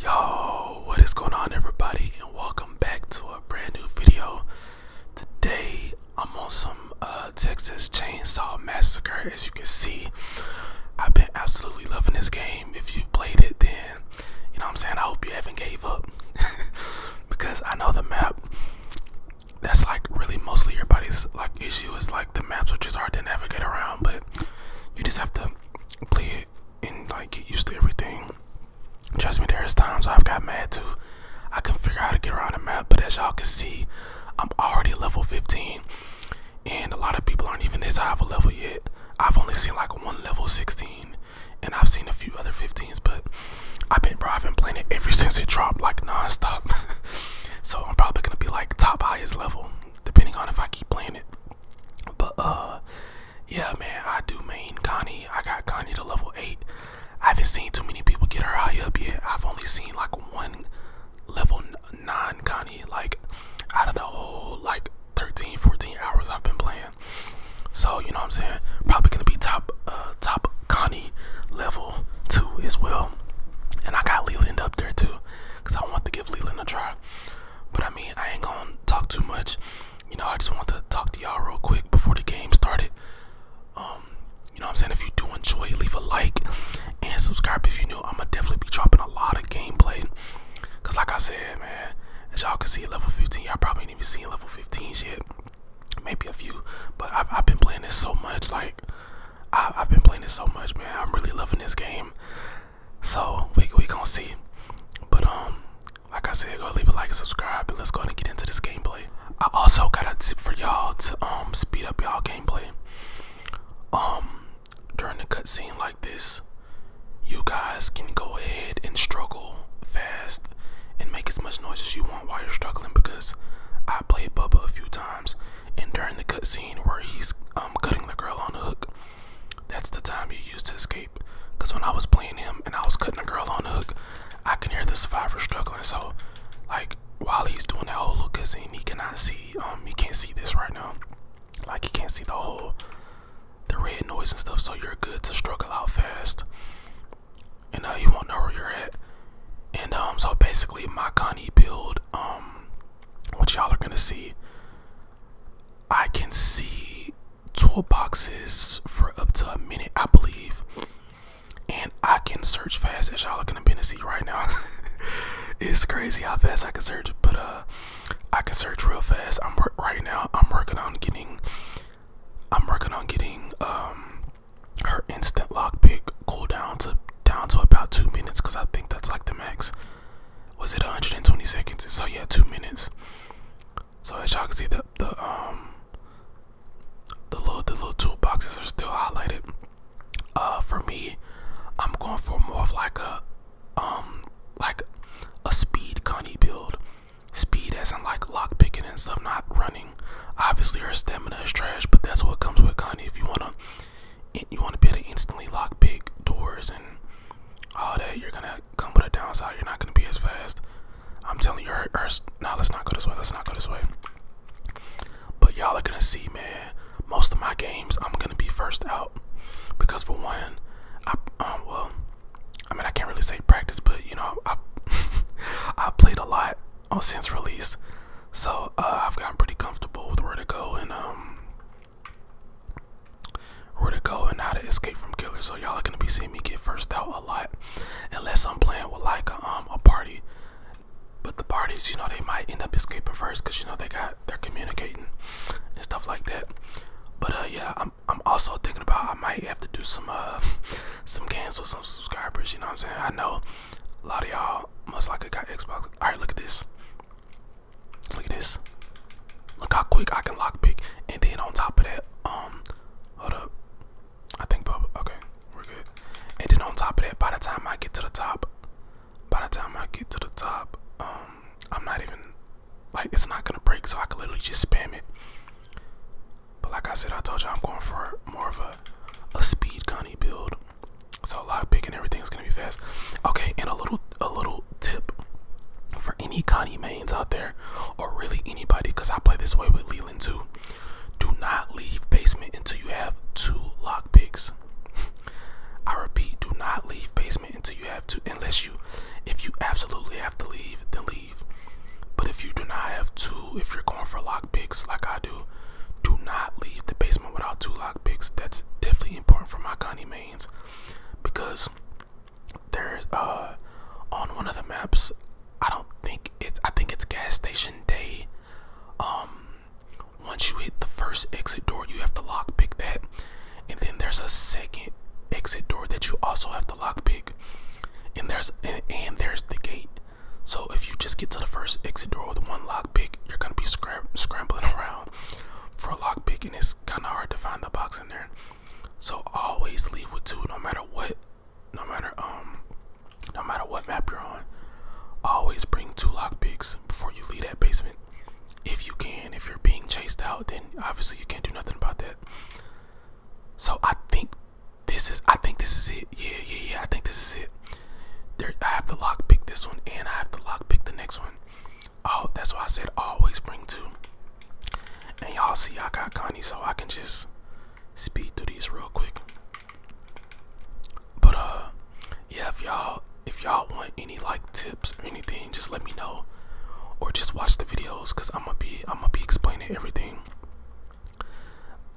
Yo, what is going on everybody and welcome back to a brand new video. Today I'm on some uh, Texas Chainsaw Massacre as you can see. I've been absolutely loving this game. If you've played it then, you know what I'm saying, I hope you haven't gave up. because I know the map, that's like really mostly everybody's like issue is like the maps which is hard to navigate around but you just have to play and like get used to everything. Trust me, there's times I've got mad too. I can figure out how to get around the map, but as y'all can see, I'm already level 15, and a lot of people aren't even this high of a level yet. I've only seen like one level 16, and I've seen a few other 15s, but I've been, bro, I've been playing it ever since it dropped, like nonstop. so I'm probably gonna be like top highest level, depending on if I keep playing it. But uh yeah man, I do main Connie. I got Connie to level eight. I haven't seen too many people get her high up yet. I've only seen like one level nine Connie, like out of the whole like 13, 14 hours I've been playing. So, you know what I'm saying? Probably gonna be top uh, top Connie level two as well. And I got Leland up there too. Cause I want to give Leland a try. But I mean, I ain't gonna talk too much. You know, I just want to talk to y'all real quick before the game started. Um, you know what I'm saying? If you do enjoy, leave a like and subscribe if you new. I'm gonna definitely be dropping a lot of gameplay. Cause like I said, man, as y'all can see, level 15, y'all probably ain't even seen level 15 yet. Maybe a few, but I've, been playing this so much. Like, I've been playing this so much, man. I'm really loving this game. So we we gonna see. But um, like I said, go leave a like and subscribe, and let's go and get into this gameplay. I also got a tip for y'all to um speed up y'all gameplay. Um, during the cutscene like this, you guys can go ahead and struggle fast and make as much noise as you want while you're struggling because I played Bubba a few times and during the cutscene where he's um, cutting the girl on the hook, that's the time you use to escape. Cause when I was playing him and I was cutting the girl on the hook, I can hear the survivor struggling. So, like while he's doing that whole little cutscene, he cannot see. Um, he can't see this right now. Like he can't see the whole the red noise and stuff. So you're good to struggle out fast, and uh, you won't know where you're at. And um, so basically my Connie build um which y'all are gonna see, I can see toolboxes for up to a minute, I believe. And I can search fast as y'all are gonna be to see right now. it's crazy how fast I can search, but uh I can search real fast. I'm right now I'm working on getting I'm working on getting um her instant lock pick cool down to down to about two minutes because I think that's like the max. Was it 120 seconds? So yeah, two minutes. So as y'all can see, the the um the little the little toolboxes are still highlighted. Uh, for me, I'm going for more of like a um like a speed Connie build. Speed as in like lock picking and stuff, not running. Obviously her stamina is trash, but that's what comes with Connie. If you wanna you want to be able to instantly lock big doors and all that, you're gonna come with a downside. You're not gonna be as fast. I'm telling you, her, now let's not go this way. Let's not go this way. But y'all are gonna see, man. Most of my games, I'm gonna be first out because for one, I um, well, I mean I can't really say practice, but you know I I played a lot uh, since release. So uh, I've gotten pretty comfortable with where to go and um where to go and how to escape from killers. So y'all are gonna be seeing me get first out a lot, unless I'm playing with like a, um a party. But the parties, you know, they might end up escaping first because you know they got they're communicating and stuff like that. But uh, yeah, I'm I'm also thinking about I might have to do some uh some games with some subscribers. You know what I'm saying? I know a lot of y'all must like got Xbox. All right, look at this. Look at this. Look how quick I can lock pick, And then on top of that, um, hold up. I think Bubba. Okay, we're good. And then on top of that, by the time I get to the top, by the time I get to the top, um, I'm not even like it's not gonna break, so I can literally just spam it. But like I said, I told you all I'm going for more of a a speed gunny build. So lock pick and everything is gonna be fast. Okay, and a little a little tip for any Connie mains out there, or really anybody, because I play this way with Leland too. Do not leave basement until you have two lock picks. I repeat, do not leave basement until you have two. unless you, if you absolutely have to leave, then leave. But if you do not have two, if you're going for a lock lock picks like I do. Do not leave the basement without two lock picks. That's definitely important for my Connie mains because there's uh on one of the maps. I don't think it's. I think it's gas station day. Um, once you hit the first exit door, you have to lock pick that, and then there's a second exit door that you also have to lock pick. And there's and there's the gate. So if you just get to the first exit door with one lock pick, you're gonna be scrambling around for a lock pick, and it's kind of hard to find the box in there. So always leave with two, no matter what, no matter um, no matter what map you're on. Always bring two lock picks before you leave that basement, if you can. If you're being chased out, then obviously you can't do nothing about that. So I think this is, I think this is it. Yeah, yeah, yeah. I think this is it. I have to lock pick this one, and I have to lock pick the next one. Oh, that's why I said always bring two. And y'all see, I got Connie, so I can just speed through these real quick. But uh, yeah, if y'all if y'all want any like tips or anything, just let me know, or just watch the videos, cause I'm gonna be I'm gonna be explaining everything.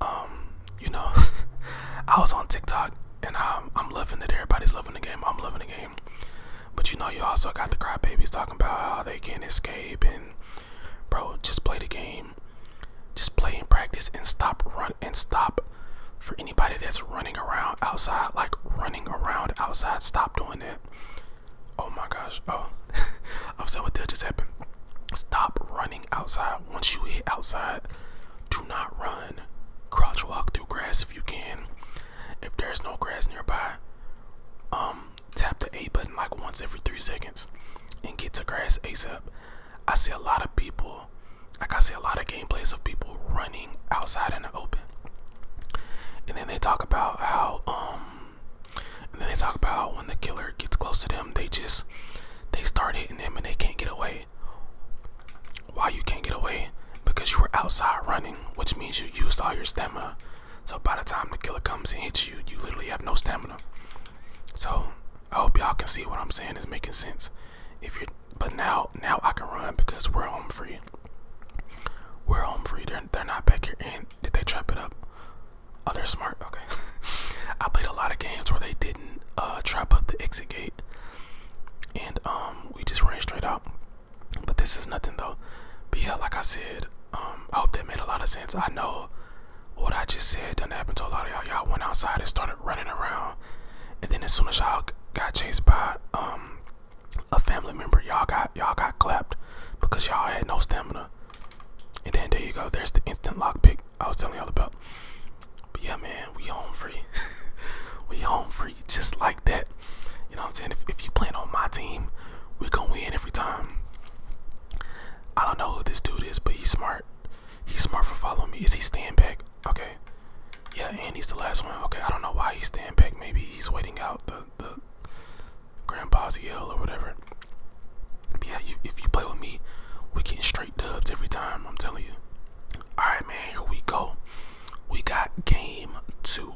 Um, you know, I was on TikTok and I'm, loving it. Everybody's loving the game. I'm loving the game. But you know, you also got the crybabies talking about how they can't escape and bro, just play the game. Just play and practice and stop run and stop for anybody that's running around outside, like running around outside, stop doing it. Oh my gosh. Oh, I'm so what that just happened. Stop running outside. Once you hit outside, do not run. Crouch walk through grass if you can. If there's no grass nearby, um, tap the A button like once every three seconds and get to grass ASAP. I see a lot of people, like I see a lot of gameplays of people running outside in the open. And then they talk about how, um, and then they talk about when the killer gets close to them, they just they start hitting them and they can't get away. Why you can't get away? Because you were outside running, which means you used all your stamina. So by the time the killer comes and hits you, you literally have no stamina. So I hope y'all can see what I'm saying is making sense. If you're, but now now I can run because we're home free. We're home free. They're they're not back here. And did they trap it up? Oh, they're smart. Okay. I played a lot of games where they didn't uh, trap up the exit gate, and um, we just ran straight out. But this is nothing though. But yeah, like I said, um, I hope that made a lot of sense. I know what I just said didn't happen to a lot of y'all. Y'all went outside and started running around, and then as soon as y'all got chased by um a family member, y'all got y'all got clapped because y'all had no stamina. And then there you go. There's the instant lockpick I was telling y'all about. But yeah, man, we home free. we home free just like that. You know what I'm saying? If, you playing on my team, we're going to win every time. I don't know who this dude is, but he's smart. He's smart for following me. Is he stand back? Okay. Yeah, and he's the last one. Okay, I don't know why he's stand back. Maybe he's waiting out the, the Grandpa's yell or whatever yeah, if you play with me, we get straight dubs every time. I'm telling you. All right, man. Here we go. We got game two.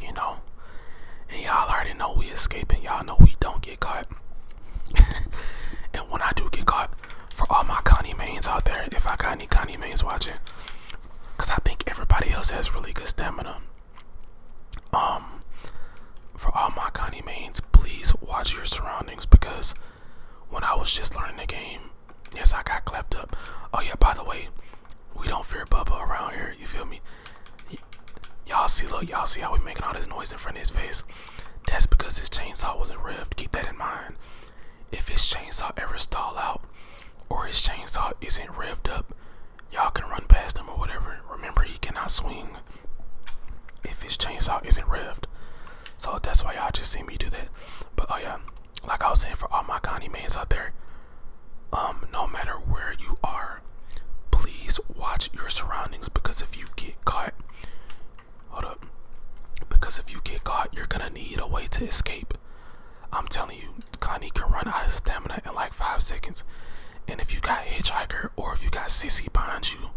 You know, and y'all already know we escaping. Y'all know we don't get caught. and when I do get caught, for all my Connie mains out there, if I got any Connie mains watching, because I think everybody else has really good stamina. Um, for all my Connie mains, please watch your surroundings because when I was just learning the game, yes, I got clapped up. Oh yeah, by the way, we don't fear Bubba around here. You feel me? Y'all see, look, y'all see how we making all this noise in front of his face? That's because his chainsaw wasn't revved. Keep that in mind. If his chainsaw ever stall out or his chainsaw isn't revved up, y'all can run past him or whatever. Remember, he cannot swing if his chainsaw isn't revved. So that's why y'all just see me do that. But oh yeah, like I was saying for all my Connie mans out there, um, no matter where you are, please watch your surroundings because if you get caught, hold up, because if you get caught, you're gonna need a way to escape. I'm telling you, Connie can run out of stamina in like five seconds. And if you got hitchhiker or if you got sissy behind you,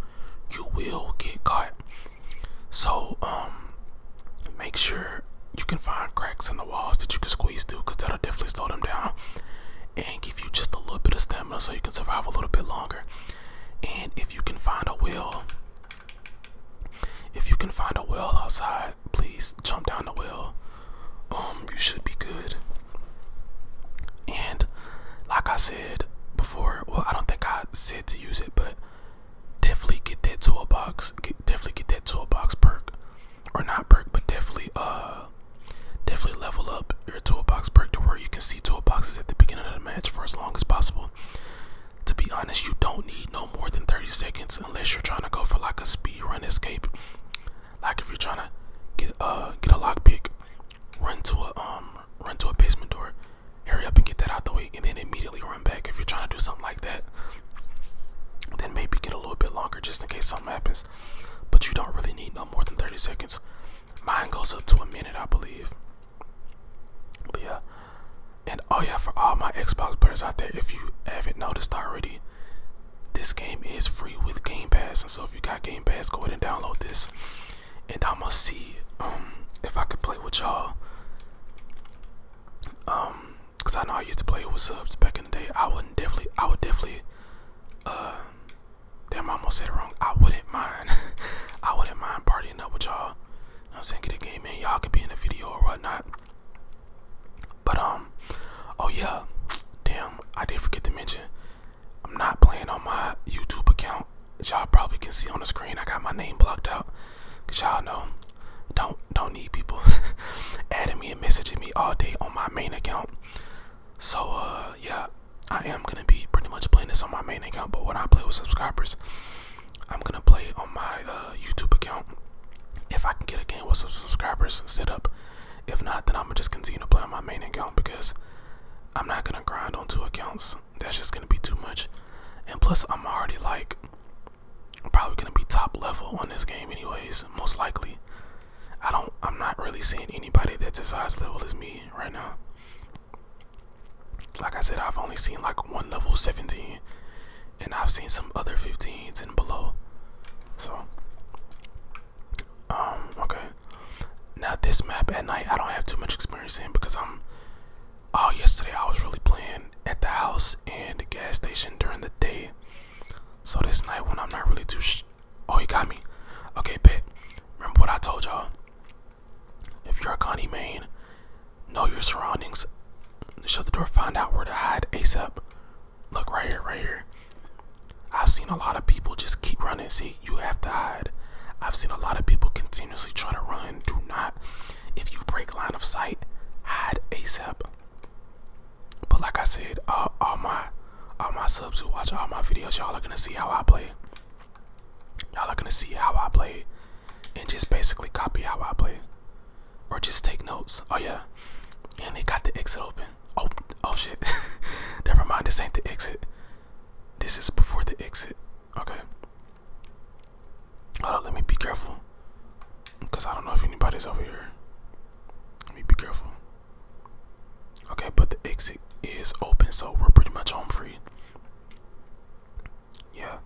you will get caught. So um, make sure you can find cracks in the walls that you can squeeze through because that'll definitely slow them down and give you just a little bit of stamina so you can survive a little bit longer. And if you can find a well, if you can find a well outside, please jump down the well. Um, you should be good. And like I said before, well, I don't think I said to use it, but definitely get that toolbox. definitely get that toolbox perk, or not perk, but definitely uh, definitely level up your toolbox perk to where you can see toolboxes at the beginning of the match for as long as possible. To be honest, you don't need no more than 30 seconds unless you're trying to go for like a speed run escape. Like if you're trying to get uh get a lockpick, run to a um run to a basement door, hurry up and get that out the way, and then immediately run back. If you're trying to do something like that, then maybe get a little bit longer just in case something happens. But you don't really need no more than 30 seconds. Mine goes up to a minute, I believe. But yeah. And oh yeah, for all my Xbox players out there, if you haven't noticed already, this game is free with Game Pass, and so if you got Game Pass, go ahead and download this. And I'ma see um if I could play with y'all. Um, cause I know I used to play with subs back in the day. I wouldn't definitely, I would definitely, uh, damn, I am gonna say it wrong. I wouldn't mind, I wouldn't mind partying up with y'all. I'm saying get a game in, y'all could be in the video or whatnot. But um, oh yeah, damn, I did forget to mention. I'm not playing on my YouTube account. y'all probably can see on the screen, I got my name blocked out. Cause y'all know, don't don't need people adding me and messaging me all day on my main account. So uh, yeah, I am gonna be pretty much playing this on my main account. But when I play with subscribers, I'm gonna play on my uh, YouTube account. If I can get a game with some subscribers set up, if not, then I'm gonna just continue to play on my main account because I'm not gonna grind on two accounts. That's just gonna be too much. And plus, I'm already like, I'm probably gonna be top level on this game, anyways. Most likely. I don't. I'm not really seeing anybody that's as high as level as me right now. Like I said, I've only seen like one level 17, and I've seen some other 15s and below. So, um, okay. Now this map at night, I don't have too much experience in because I'm. Oh, yesterday I was really playing at the house and gas station during the day. So this night when I'm not really too. oh, you got me. Okay, bet. Remember what I told y'all. If you're a Connie main, know your surroundings. Shut the door. Find out where to hide ASAP. Look right here, right here. I've seen a lot of people just keep running. See, you have to hide. I've seen a lot of people continuously try to run. Do not. If you break line of sight, hide ASAP. But like I said, all my all my subs who watch all my videos, y'all are gonna see how I play. Y'all are gonna see how I play, and just basically copy how I play or just take notes. Oh yeah, and they got the exit open. Oh, oh shit. Never mind. This ain't the exit. This is before the exit. Okay. Hold on. Let me be careful, cause I don't know if anybody's over here. Let me be careful. Okay, but the exit is open, so we're pretty much home free. Yeah.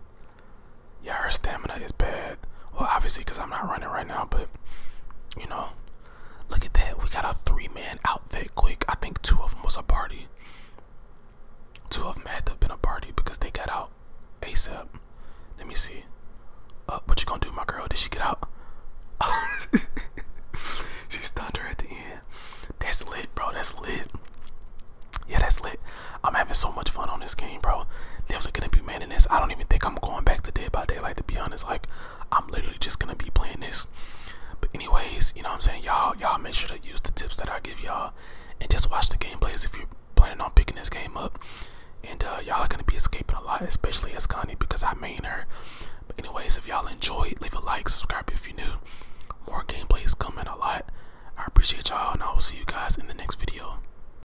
Yeah, her stamina is bad. Well, obviously, because I'm not running right now, but you know, look at that. We got a three man outfit quick. I think two of them was a party. Two of them had to have been a party because they got out ASAP. Let me see. Uh, what you gonna do, my girl? Did she get out? she stunned her at the end. That's lit, bro. That's lit. Yeah, that's lit. I'm having so much fun on this game, bro. Definitely gonna be man. I don't even think I'm going back to Dead by Daylight to be honest. Like I'm literally just gonna be playing this. But anyways, you know what I'm saying? Y'all y'all make sure to use the tips that I give y'all and just watch the gameplays if you're planning on picking this game up. And uh, y'all are gonna be escaping a lot, especially as Ascani because I am main her. But anyways, if y'all enjoyed, leave a like, subscribe if you're new. More gameplays coming a lot. I appreciate y'all and I will see you guys in the next video.